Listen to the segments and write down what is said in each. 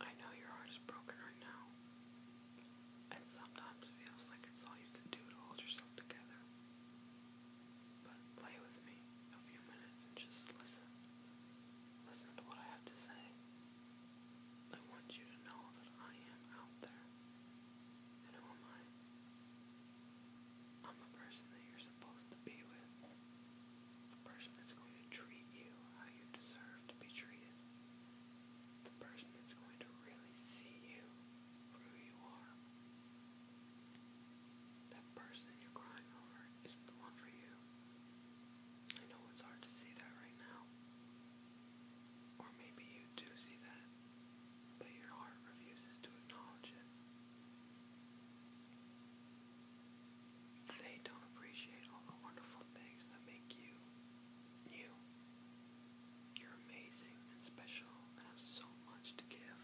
I know your heart is broken right now. And sometimes it feels like it's all you can do to hold yourself together. But play with me a few minutes and just listen. Listen to what I have to say. I want you to know that I am out there. And who am I? I'm the person that you're supposed to be with. The person that's going to treat you how you deserve to be treated. The person that's going to really see you for who you are. That person you're crying over isn't the one for you. I know it's hard to see that right now. Or maybe you do see that, but your heart refuses to acknowledge it. They don't appreciate all the wonderful things that make you you. You're amazing and special and have so much to give.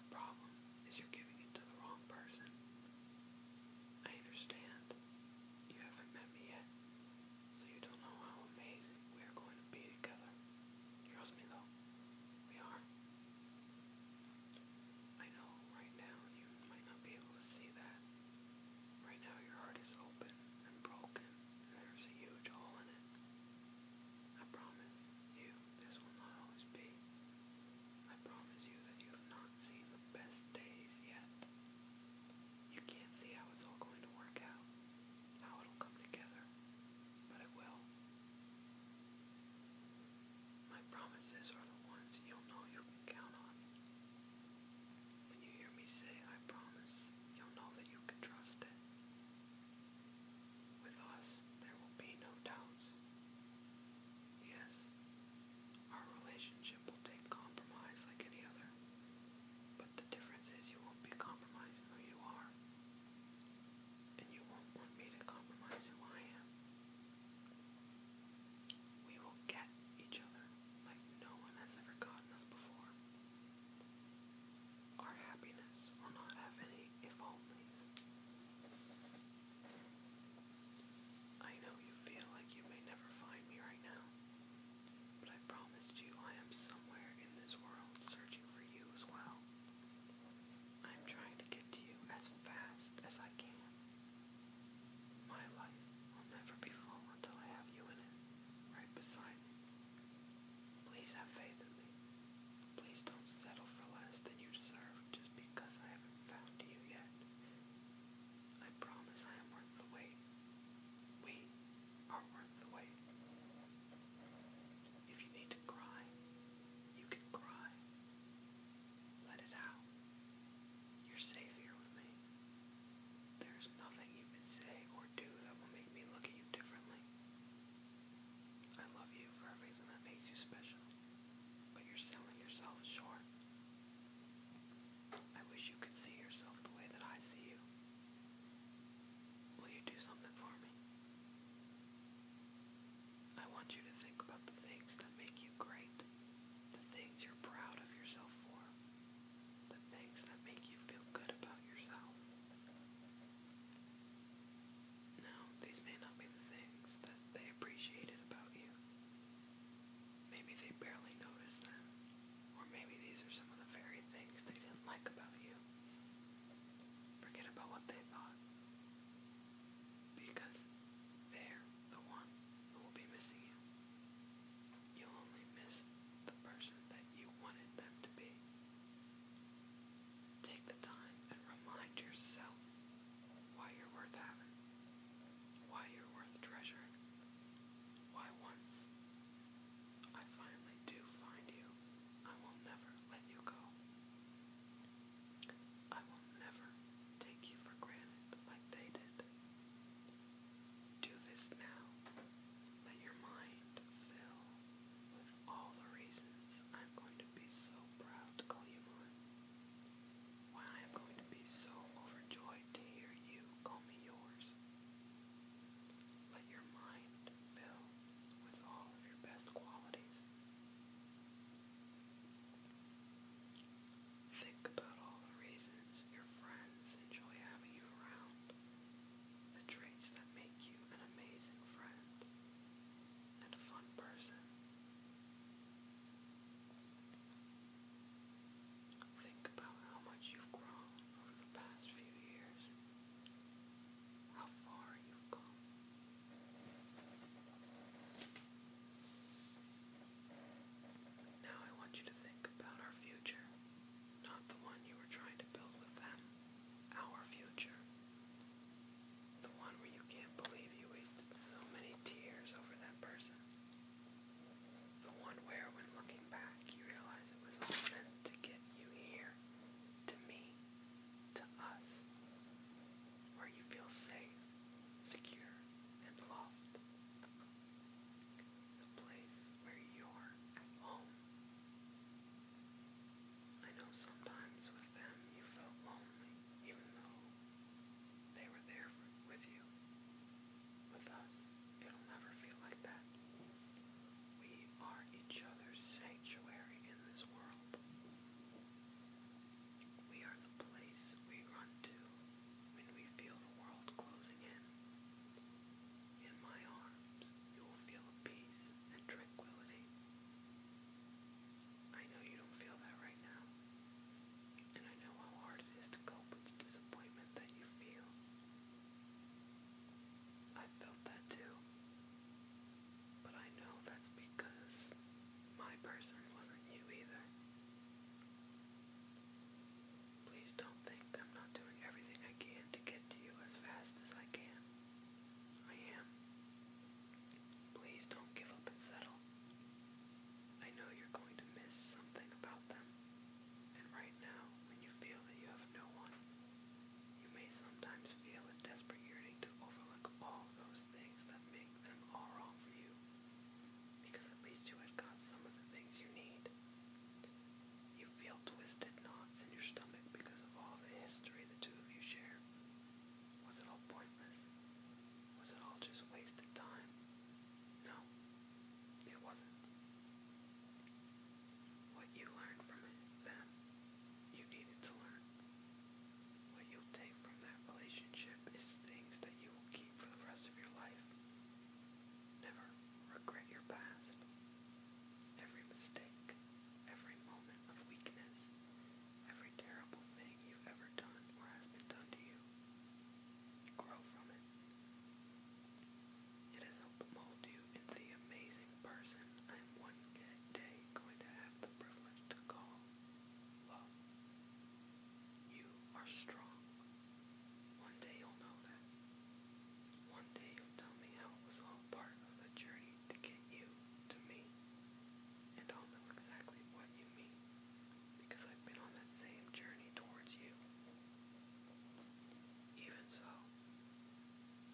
The problem is you're giving it to the wrong person. I understand. You haven't met me yet, so you don't know how amazing we are going to be together. Trust me though, we are. I know right now you might not be able to see that. Right now your heart is open and broken, there's a huge hole in it. I promise you this will not always be. I promise you that you have not seen the best days yet. You can't see how it's all going to work out, how it'll come together, but it will. My promises are the ones you'll know you can count on. When you hear me say, I promise, you'll know that you can trust it. With us, there will be no doubts. Yes, our relationship will take compromise like any other, but the difference is you won't be compromising who you are, and you won't want me to compromise who I am. We will get each other like no one has ever gotten us before. Our happiness will not have any if onlys. I know you feel like you may never find me right now, but I promised you I am somewhere in this world searching for you as well. I am trying to get to you as fast as I can. My life will never be full until I have you in it, right beside me. Please have faith in me. Please don't settle for less than you deserve just because I haven't found you yet. I promise I am worth the wait. We are worth the wait. If you need to cry, you can cry. Let it out. You're safe here with me. There's nothing you can say or do that will make me look at you differently. I love you for everything that makes you special, but you're selling yourself short. I wish you could see yourself the way that I see you. Will you do something for me? I want you to think about the things that make you great, the things you're proud of yourself for, the things that make you feel good about yourself. Now, these may not be the things that they appreciated about you. Maybe they barely noticed them, or maybe these are some of the very things they didn't like about you. Forget about what they thought because they the one will be missing you. You only miss the person that you wanted them to be. Take the time and remind yourself why you're worth having, why you're worth treasuring, why once I finally do find you, I will never let you go. I will never take you for granted like they did. Do this now. Let your mind fill with all the reasons I'm going to be so proud to call you mine. Why I am going to be so overjoyed to hear you call me yours. Let your mind fill with all of your best qualities. Think about all the reasons your friends enjoy having you around, the traits that make you an amazing friend and a fun person. Think about how much you've grown over the past few years, how far you've come. Now I want you to think about our future, not the one you were trying to build with them, our future. The one where you can't believe you wasted so many tears over that person. The one where, when looking back, you realize it was all meant to get you here, to me, to us where you feel safe, secure, and loved. The place where you're at home. I know sometimes with them you felt lonely, even though they were there with you. With us, it'll never feel like that. We are each other's sanctuary in this world. We are the place we run to when we feel the world closing in. In my arms, you will feel peace and tranquility. I know you don't feel that right now, and I know how hard it is to cope with the disappointment that you feel. I felt that too. But I know that's because my person wasn't you either. Please don't think I'm not doing everything I can to get to you as fast as I can. I am. Please don't give up and settle. I know you're going to miss something about them. And right now, when you feel that you have no one, you may sometimes feel a desperate yearning to overlook all those things that make them all wrong for you. Because at least you had got some of the things you need. You feel twisted knots in your stomach because of all the history the two of you share. Was it all pointless? Was it all just wasted time? No, it wasn't. What you learned from it then you needed to learn. What you'll take from that relationship is things that you will keep for the rest of your life. Never regret your past. Every mistake, every moment of weakness, every terrible thing you've ever done or has been done to you. Grow from it. It has helped mold you into the amazing person I'm one day going to have the privilege to call you are strong. One day you'll know that. One day you'll tell me how it was all part of the journey to get you to me. And I'll know exactly what you mean. Because I've been on that same journey towards you. Even so,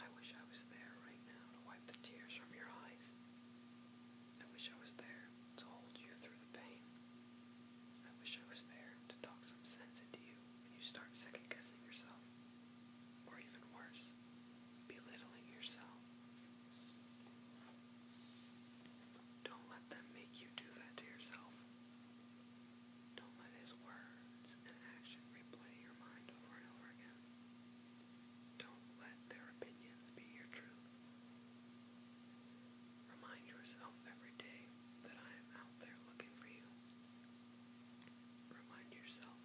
I wish I was there right now to wipe the tears from your eyes. I wish I was there to hold you through the pain. I wish I was there to talk some sense into you when you start second guessing yourself. Or even worse, belittling yourself. Don't let them make you do that to yourself. Don't let his words and action replay your mind over and over again. Don't let their opinions be your truth. Remind yourself every day that I am out there looking for you. Remind yourself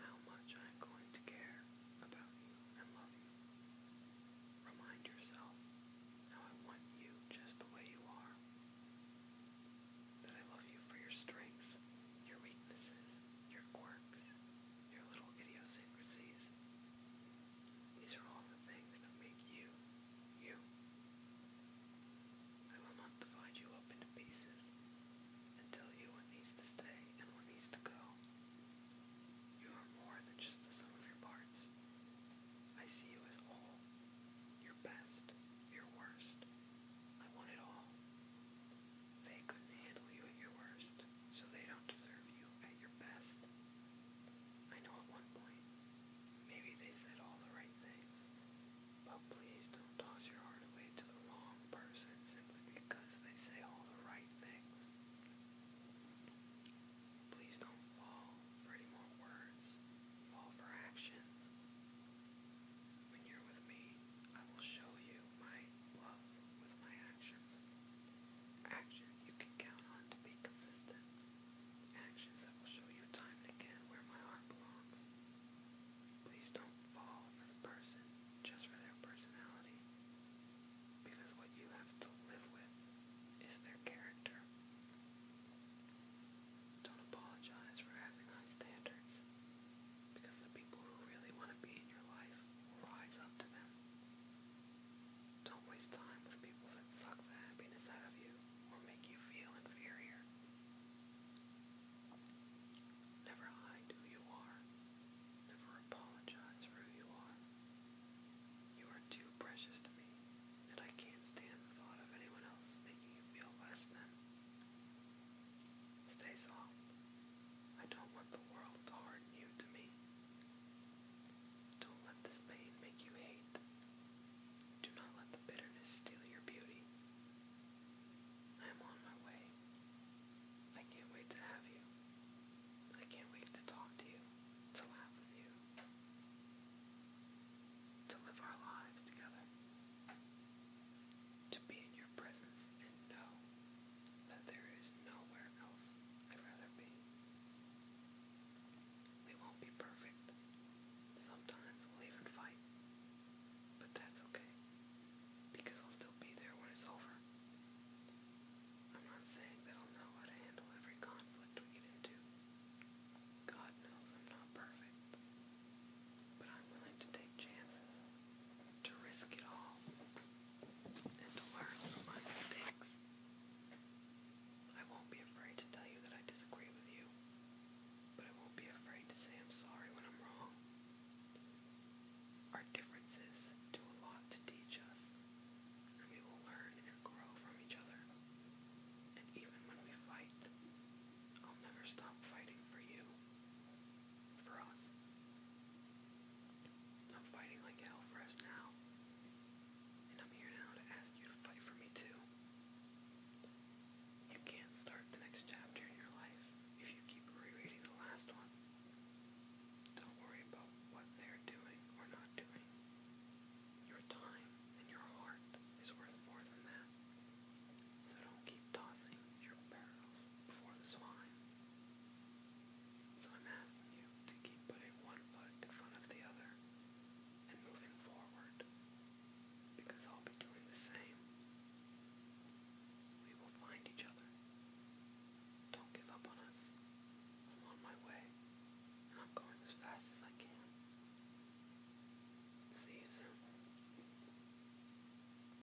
how much I am going to care about you and love you. Remind yourself how I want you just the way you are. That I love you for your strengths, your weaknesses, your quirks, your little idiosyncrasies. These are all the things that make you, you. I will not divide you up into pieces and tell you what needs to stay and what needs to go. You are more than just the of your parts. I see you as all. Your best, your worst. I want it all. They couldn't handle you at your worst, so they don't deserve you at your best. I know at one point, maybe they said all the right things, but please don't toss your heart away to the wrong person simply because they say all the right things. Please don't fall for any more words, fall for actions. When you're with me, I will show you my love with my actions. Actions you can count on to be consistent. Actions that will show you time and again where my heart belongs. Please don't fall for the person just for their personality. Because what you have to live with is their character. Don't apologize for having high standards. Because the people who really want to be in your life will rise up to them. Don't waste time with people that suck the happiness out of you or make you feel inferior. Never hide who you are. Never apologize for who you are. You are too precious to me, and I can't stand the thought of anyone else making you feel less than. Stay strong. I don't want the world to harden you to me. Don't let this pain make you hate. Do not let the bitterness steal your beauty. I am on my way. I can't wait to have you. I can't wait to talk to you, to laugh with you, to live our lives together to be in your presence and know that there is nowhere else I'd rather be. We won't be perfect. Sometimes we'll even fight. But that's okay. Because I'll still be there when it's over. I'm not saying that I'll know how to handle every conflict we get into. God knows I'm not perfect. But I'm willing to take chances to risk it all and to learn from my mistakes. I won't be afraid to tell you that I disagree with you, but I won't be afraid to say I'm sorry when I'm wrong. Our differences do a lot to teach us, and we will learn and grow from each other. And even when we fight, I'll never stop fighting for you for us. I'm fighting like hell for us now. And I'm here now to ask you to fight for me too. You can't start the next chapter in your life if you keep rereading the last one. Don't worry about what they're doing or not doing. Your time and your heart is worth more than that. So don't keep tossing your barrels before the swine. So I'm asking you to keep putting one foot in front of the other and moving forward because I'll be doing the same. We will find each other. Don't give up on us. I'm on my way and I'm going as fast as I can. See you soon.